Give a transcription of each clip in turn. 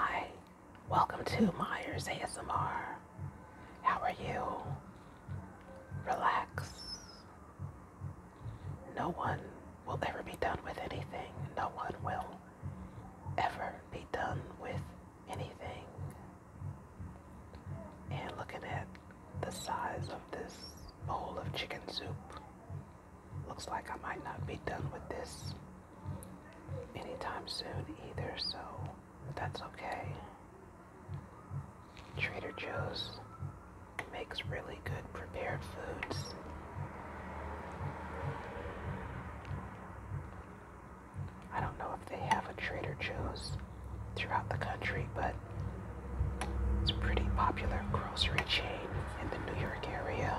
Hi, welcome to Myers ASMR. How are you? Relax. No one will ever be done with anything. No one will ever be done with anything. And looking at the size of this bowl of chicken soup, looks like I might not be done with this anytime soon either, so that's okay. Trader Joe's makes really good prepared foods. I don't know if they have a Trader Joe's throughout the country, but it's a pretty popular grocery chain in the New York area.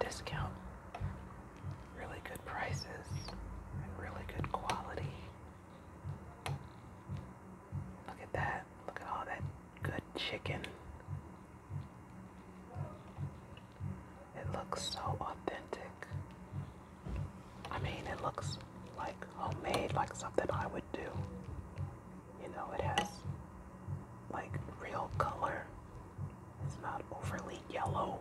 Discount really good prices and really good quality. Look at that. Look at all that good chicken. It looks so authentic. I mean, it looks like homemade, like something I would do. You know, it has like real color it's not overly yellow.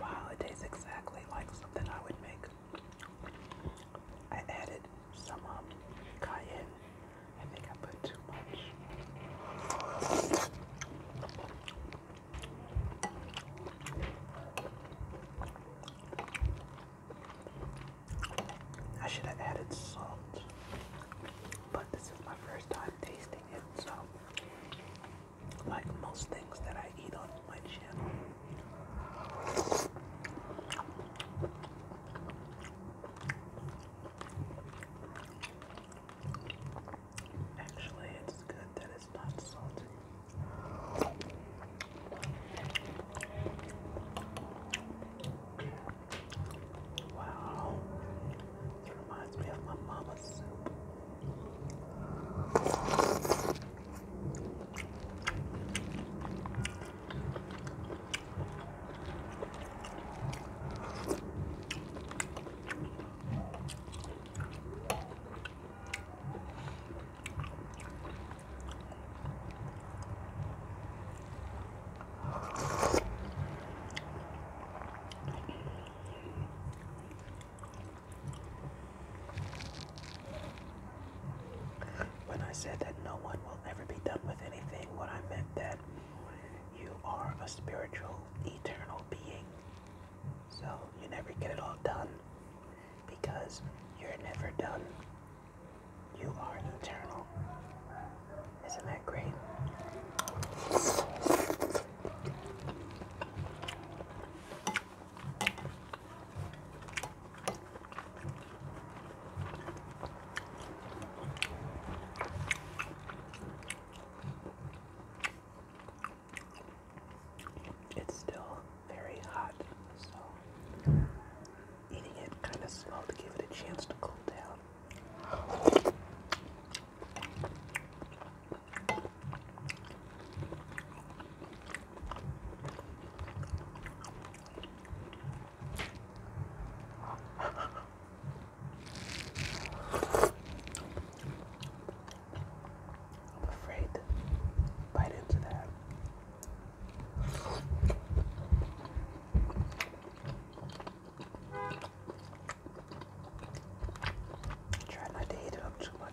Wow, it tastes exactly like something I would make. I added some um, cayenne. I think I put too much. I should have added salt, but this is my first time tasting it, so like most things that I eat on my channel, Actually, it's good that it's not salty. Wow, it reminds me of my mama's when I said that no one will ever be done with anything, what I meant that you are a spiritual, eternal being so you never get it all done because you're never done. You are eternal. Isn't that great? It's still very hot, so eating it kind of slow to give it a chance to cool down. I'm afraid to bite into that. Try not to eat it up too much.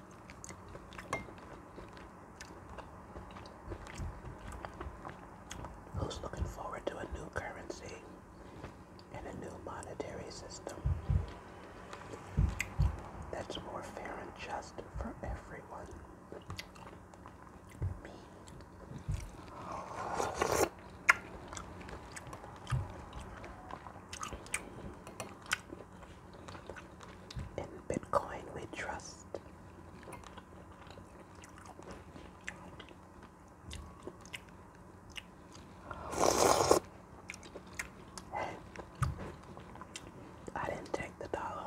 Who's looking forward to a new currency and a new monetary system that's more fair and just for everyone? Me. In Bitcoin, we trust. I didn't take the dollar.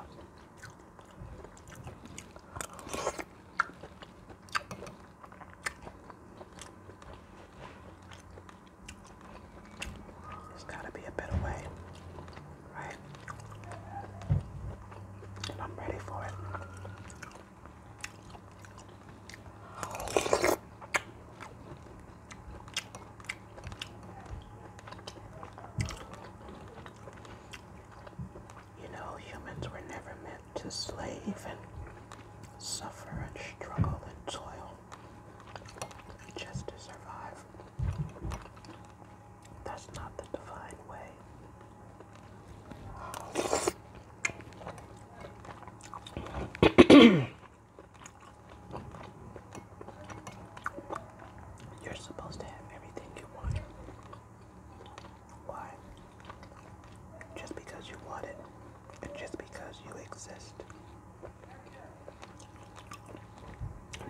There's gotta be a better way, right? And I'm ready for it. You know, humans were never meant to slave and suffer and struggle and toil just to survive. That's not the divine way. You're supposed to have everything you want. Why? Just because you want it just because you exist.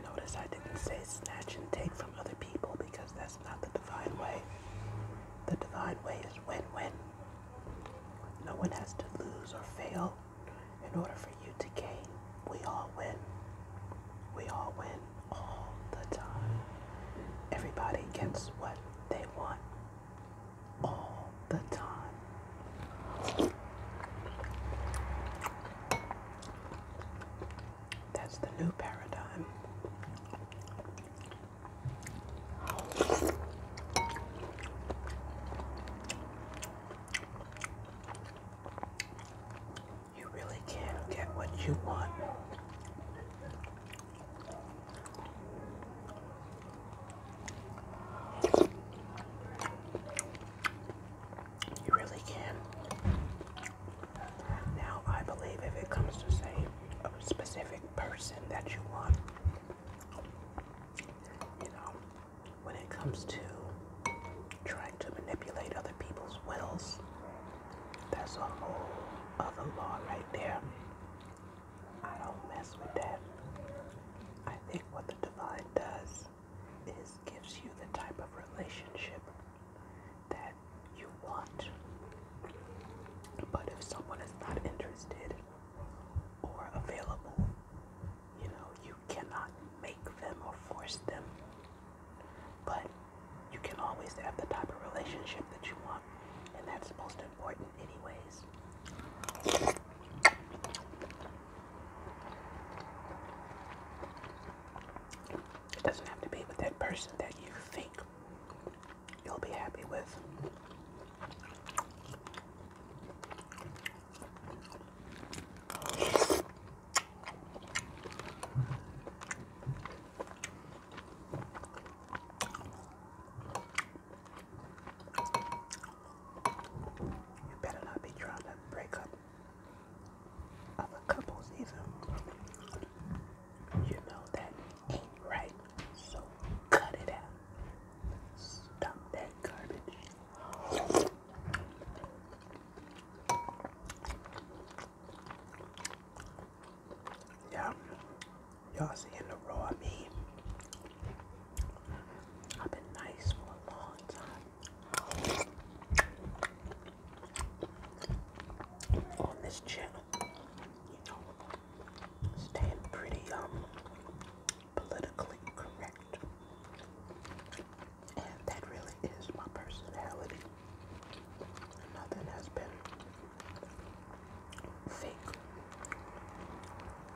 Notice I didn't say snatch and take from other people because that's not the divine way. The divine way is win-win. No one has to lose or fail in order for you to gain. We all win. We all win all the time. Everybody gets what they want all the time. That's the new paradigm. You really can't get what you want you really can. Now, I believe if it comes to saying a specific person that you want, you know, when it comes to trying to manipulate other people's wills, that's a whole other law right there. I don't mess with that. I think what the divine does is gives you the type of relationship that you want. But if someone is not interested or available, you know, you cannot make them or force them. But you can always have the type of relationship that you want. And that's most important anyways. It doesn't have to be with that person that you think you'll be happy with. You better not be trying to break up other couples either. You know that right, so cut it out. Stop that garbage. Yeah, y'all seeing the raw me. I've been nice for a long time on this channel. You know, staying pretty um politically correct, and that really is my personality. Nothing has been fake.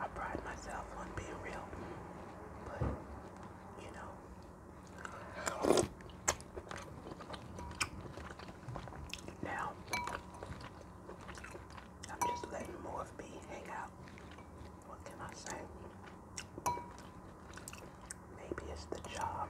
I pride myself on being real, but you know. Now, I'm just letting more of me hang out. What can I say? Maybe it's the job.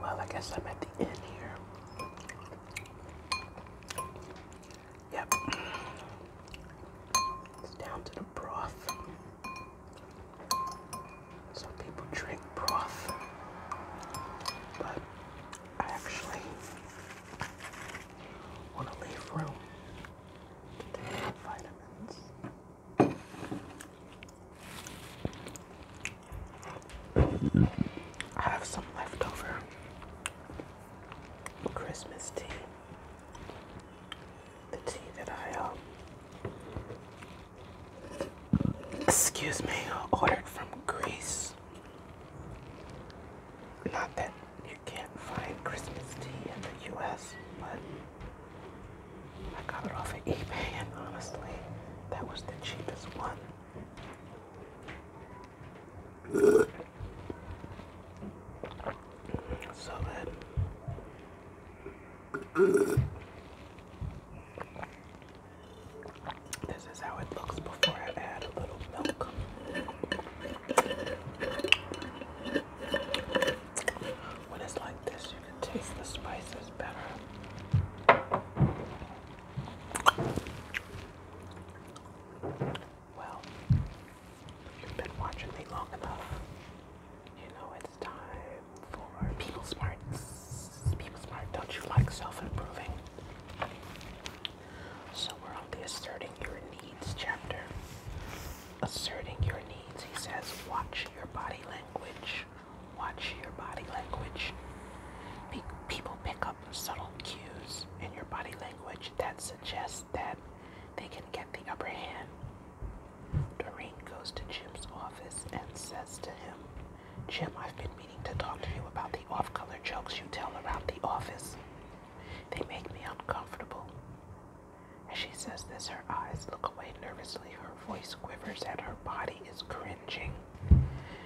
Well, I guess I'm at the end here. Yep. It's down to the broth. So people drink broth. But I actually want to leave room to take vitamins. I have some leftover Christmas tea the tea that I um excuse me ordered from Greece. Not that you can't find Christmas tea in the U.S., but I got it off of eBay, and honestly, that was the cheapest one. So bad. This is how it looks before I add a little milk. When it's like this, you can taste the spices better. Well, you've been watching me long enough. You know it's time for People Smart. People Smart, don't you like self-improving? So we're on the asserting your needs chapter. Asserting your needs, he says, watch your body language. Watch your body language. people pick up subtle cues in your body language that suggests that they can get the upper hand. Doreen goes to Jim's office and says to him, Jim, I've been meaning to talk to you about the off color jokes you tell around the office. They make me uncomfortable. As she says this, her eyes look away nervously, her voice quivers, and her body is cringing.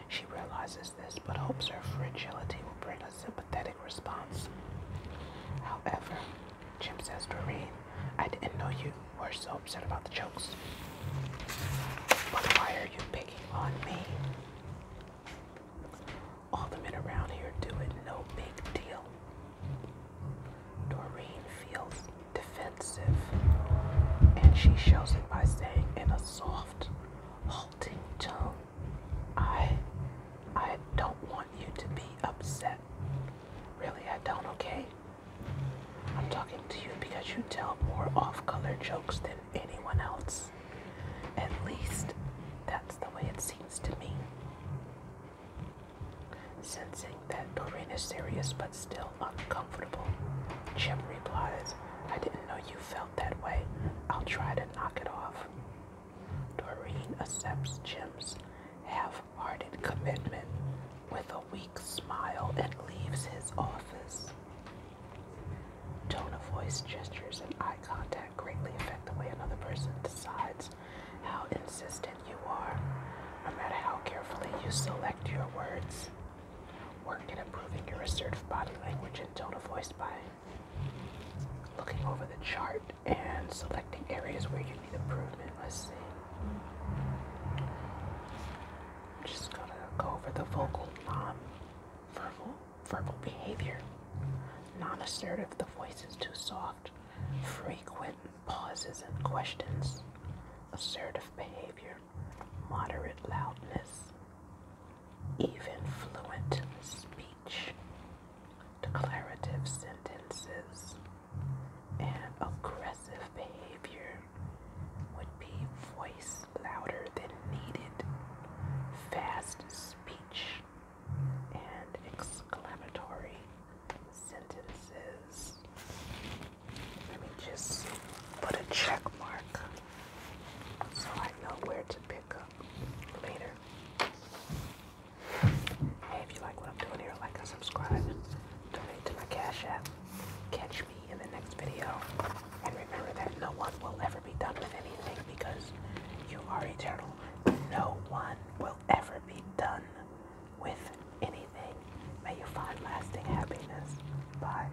She realizes this but hopes her fragility will bring a sympathetic response. However, Jim says, Doreen, I didn't know you were so upset about the jokes. But why are you picking on me? All the men around here do it, no big deal. Doreen feels defensive, and she shows it by saying in a soft, halting tone, I I don't want you to be upset. Really, I don't, okay? I'm talking to you because you tell more off-color jokes than anyone else. At least that's the way it seems to me. Sensing that Doreen is serious but still uncomfortable, Jim replies, I didn't know you felt that way. I'll try to knock it off. Doreen accepts Jim's half-hearted commitment with a weak smile and leaves his office. Tone of voice, gestures, and eye contact greatly affect the way another person decides how insistent you are, no matter how carefully you select your words. Work in improving your assertive body language and tone of voice by looking over the chart and selecting areas where you need improvement. Let's see. I'm just gonna go over the vocal non-verbal verbal behavior. Non-assertive, the voice is too soft. Frequent pauses and questions. Assertive behavior. Moderate loudness even fluent speech, declarative sentences, and aggressive behavior would be voice louder than needed, fast speech, and exclamatory sentences. Let me just put a check mark so I know where to pick up later. Hey, if you like what I'm doing here, like and subscribe. Donate to my Cash App. Catch me in the next video. And remember that no one will ever be done with anything because you are eternal. No one will ever be done with anything. May you find lasting happiness. Bye.